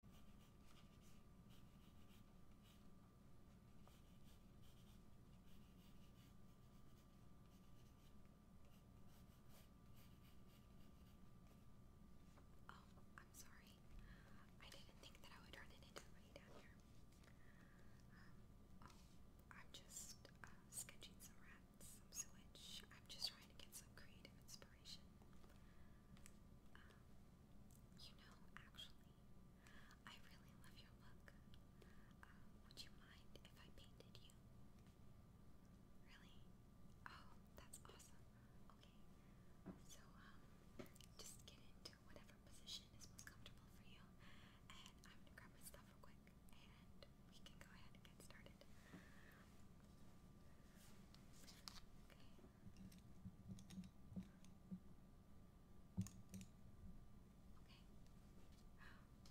Oh, I'm sorry. I didn't think that I would run into anybody down here. Um, oh, I'm just uh, sketching some rats, some sewage. I'm just trying to get some creative inspiration. Um, you know, actually, I really love your look. Uh, would you mind if I painted you? Really? Oh, that's awesome. Okay, so um, just get into whatever position is most comfortable for you, and I'm gonna grab my stuff real quick, and we can go ahead and get started. Okay. Okay.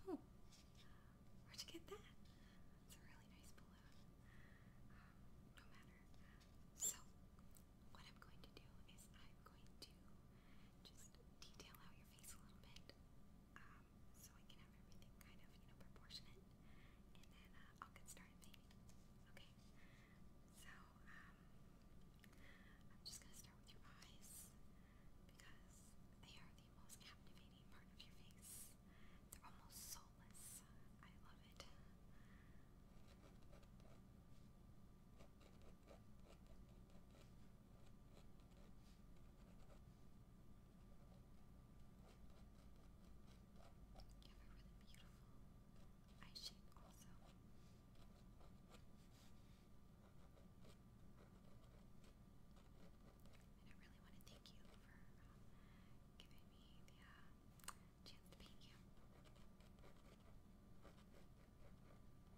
Oh, where'd you get that? It's a really nice balloon. No matter. So, what I'm going to do is I'm going to just detail out your face a little bit um, so I can have everything kind of, you know, proportionate. And then uh, I'll get started painting. Okay? So, um, I'm just going to start with your eyes because they are the most captivating part of your face. They're almost soulless. I love it. You have really beautiful, I shake also. And I really want to thank you for uh, giving me the uh, chance to paint you. Okay. Uh, now I'm going to go ahead and do your nose.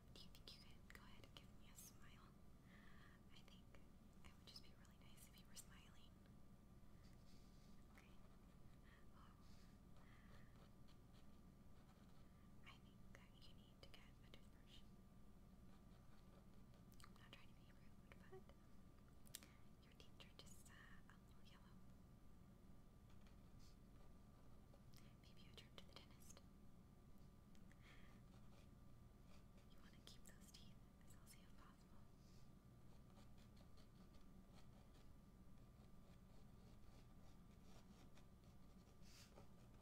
Um, do you think you could go ahead and give me a smile? I think it would just be really nice if you were smiling. Okay. Oh. I think that you need to get a toothbrush. I'm not trying to be rude, but your teeth are just uh, a little yellow. Maybe a trip to the dentist. You want to keep those teeth as healthy as possible. All right.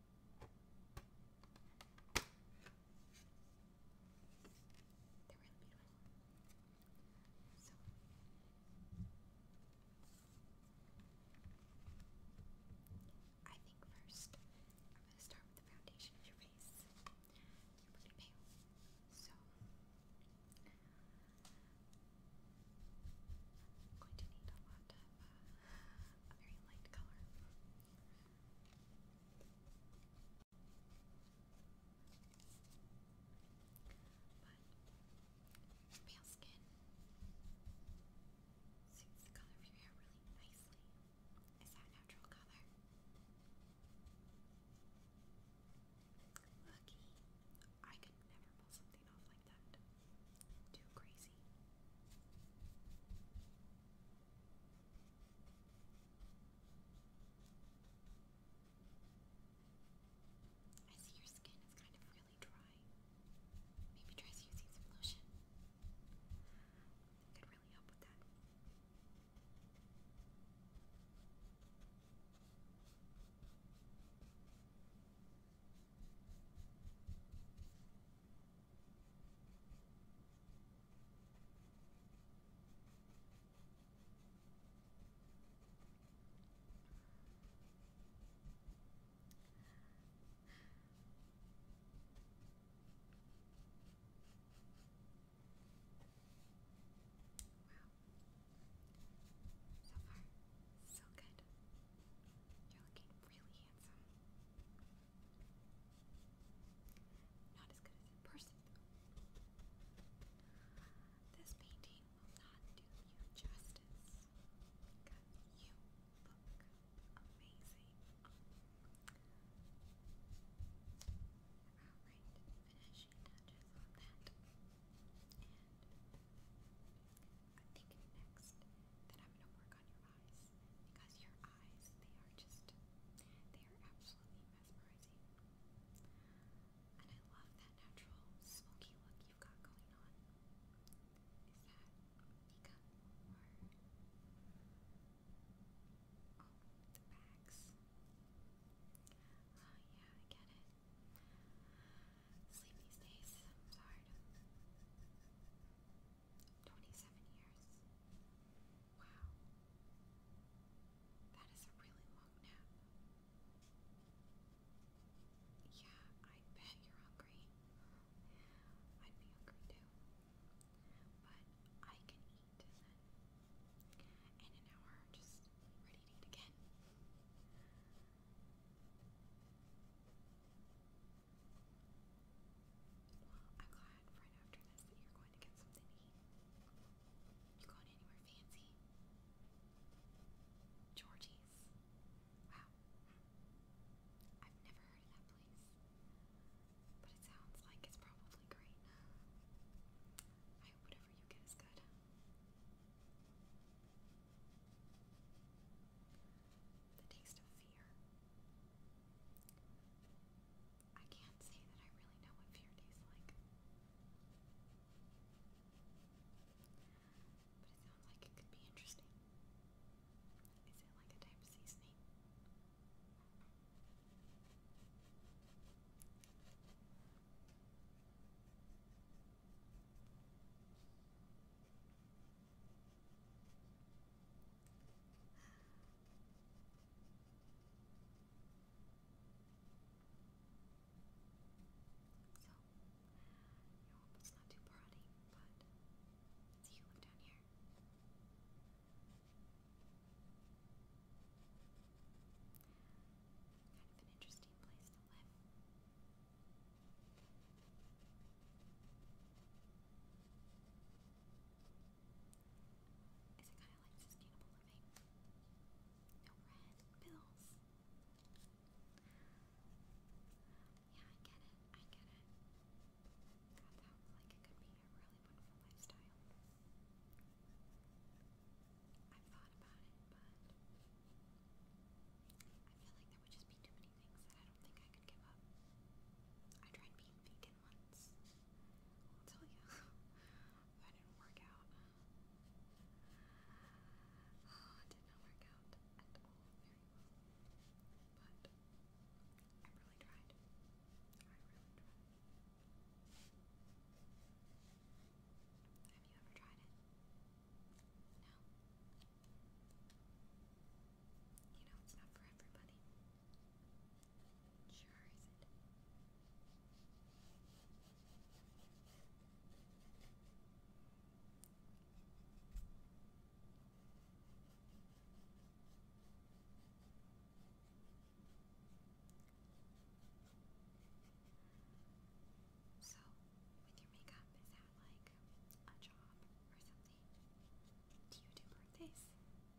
They're really beautiful. So I think first I'm gonna start with the foundation of your face. You're pretty pale. So I'm going to need a lot of uh, a very light color. But pale skin suits the color of your hair really nicely. Is that natural color? Lucky. I could never pull something off like that. Too crazy. I see your skin is kind of really dry. Maybe try using some lotion. It could really help with that. Wow. So far, so good. You're looking really handsome. Not as good as in person, though. This painting will not do you justice because you look amazing. Alright, finishing touches on that. And I think next that I'm going to work on your eyes because your eyes, they are just, they are absolutely mesmerizing. And I love that natural smoky look you've got going on. Is that makeup or oh, the bags? Oh yeah, I get it. Sleep these days. I'm tired. 27 years. Wow. That is a really long nap. Yeah, I bet you're hungry. I'd be hungry too. But I can eat and in an hour just ready to eat again. Well, I'm glad right after this that you're going to get something to eat. You going anywhere fancy? Georgie's. Wow. I've never heard of that place. But it sounds like it's probably great. I hope whatever you get is good. The taste of fear. I can't say that I really know what fear tastes like. But it sounds like it could be interesting. Is it like a type of seasoning? So, I hope it's not too party, but see you live down here. Kind of an interesting place to live. Is it kind of like sustainable living? No red pills. Yeah, I get it. I get it. God, that was like it could be a really wonderful lifestyle. I've thought about it, but I feel like there would just be too many things that I don't think I could give up. I tried being vegan did once. I'll tell you. that didn't work out. it did not work out at all very well. But I really tried. I really tried. Have you ever tried it? No. You know, it's not for everybody. Charizard. So, with your makeup, is that like a job or something? Do you do birthdays?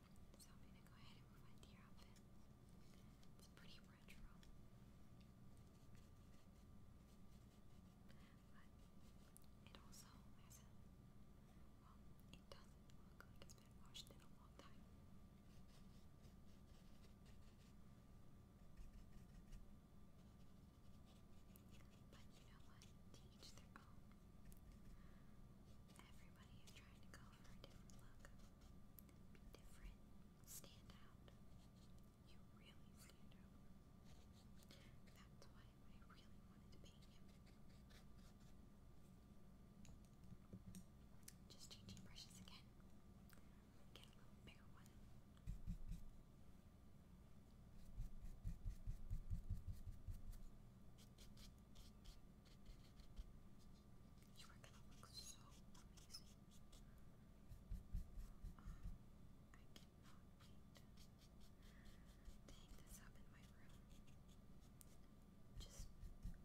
So I'm gonna go ahead and move on to your outfit. It's pretty retro. But it also has a well, it doesn't look like it's been washed in a long time. But you know what? To each their own. Everybody is trying to go for a different look. different. Stand out. You really stand out. That's what I really wanted to paint him. Just changing brushes again. Get a little bigger one. You are gonna look so amazing. I cannot wait to hang this up in my room. Just amazing.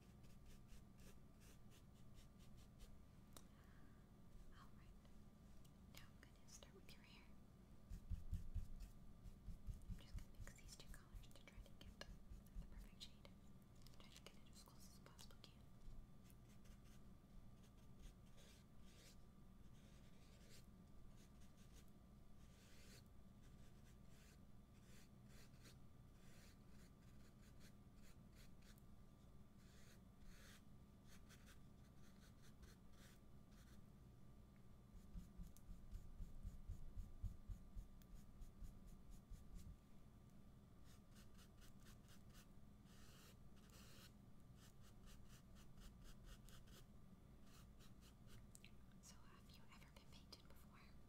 Alright. Now I'm going to start with your hair. I'm just going to mix these two colors to try to get the perfect shade. Try get it as close as possible can. So, have you ever been painted before?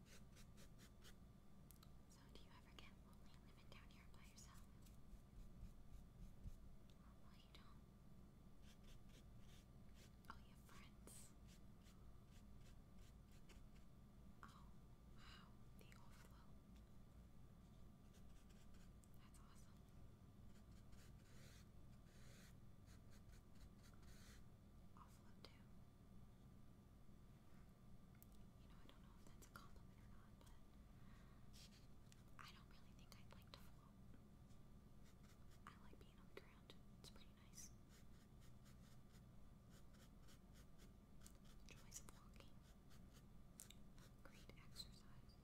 So, do you ever get lonely living down here by yourself? well, you don't. Oh, you have friends. Oh, wow, the overflow. That's awesome. i too. You know, I don't know if that's a compliment or not, but I don't really think i like to float. I like being on the ground, it's pretty nice. The joys walking. Great exercise. Alright,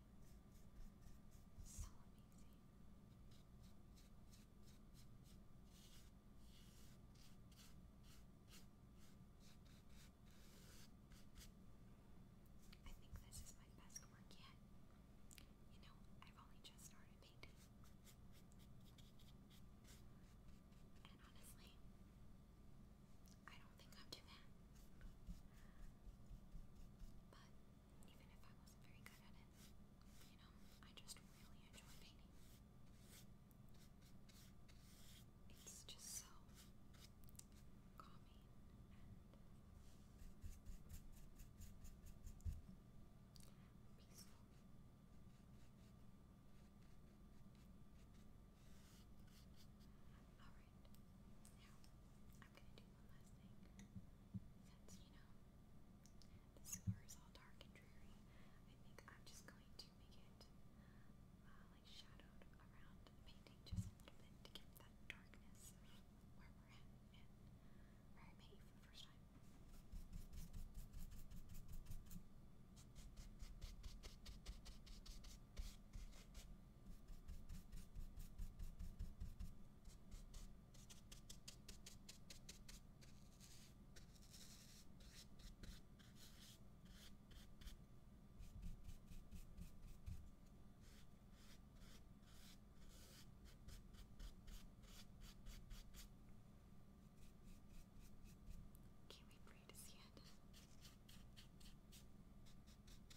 So I think this is my best work yet. You know, I've only just started painting. And honestly, I don't think I'm too bad. But even if I wasn't very good at it, you know, I just really enjoy painting. It's just so calming and peaceful. Alright, now I'm gonna do one last thing. Since, you know, the sewer is all dark and dreary, I think I'm just going to make it, like, shadowed around painting just a little bit to that darkness where we're at where I made for the first time. Can't we pray to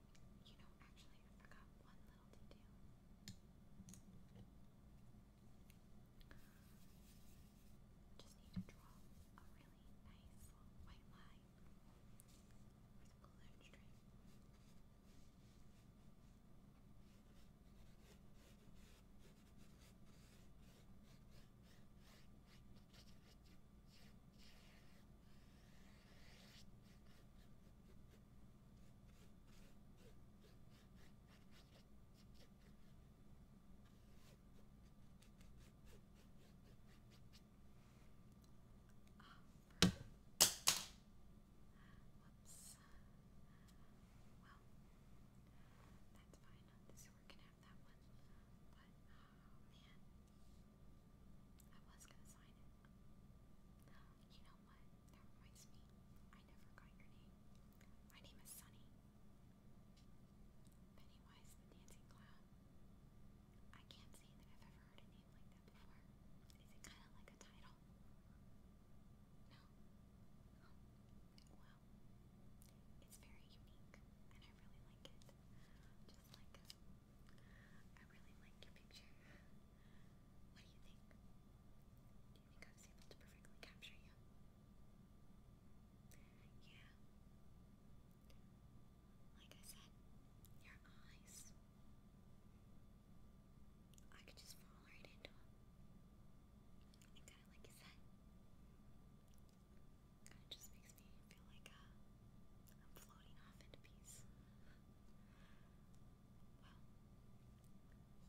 You know, actually, I forgot one little detail. Just need to draw a really nice white line with a balloon string. Whoops. Well, that's fine. we're gonna have that one. But oh, man. I was gonna sign it. You know that reminds me. I never got your name. My name is Sunny. Pennywise the Dancing Clown. I can't say that I've ever heard a name like that before. Is it kind of like a title? No? well, it's very unique and I really like it. Just like I really like your picture. What do you think? Do you think I was able to perfectly capture you? Yeah. Like I said, your eyes. I could just fall right into them. And kind of like you said, kind of just makes me feel like uh, I'm floating off into peace. Well,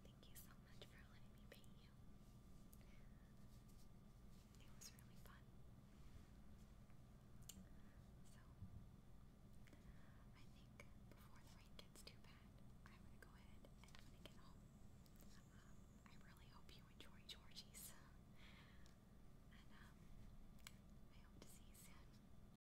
thank you so much for letting me paint you. It was really fun. So, I think before the rain gets too bad, I'm gonna go ahead and when I get home, um, I really hope you enjoy Georgie's. And um, I hope to see you soon.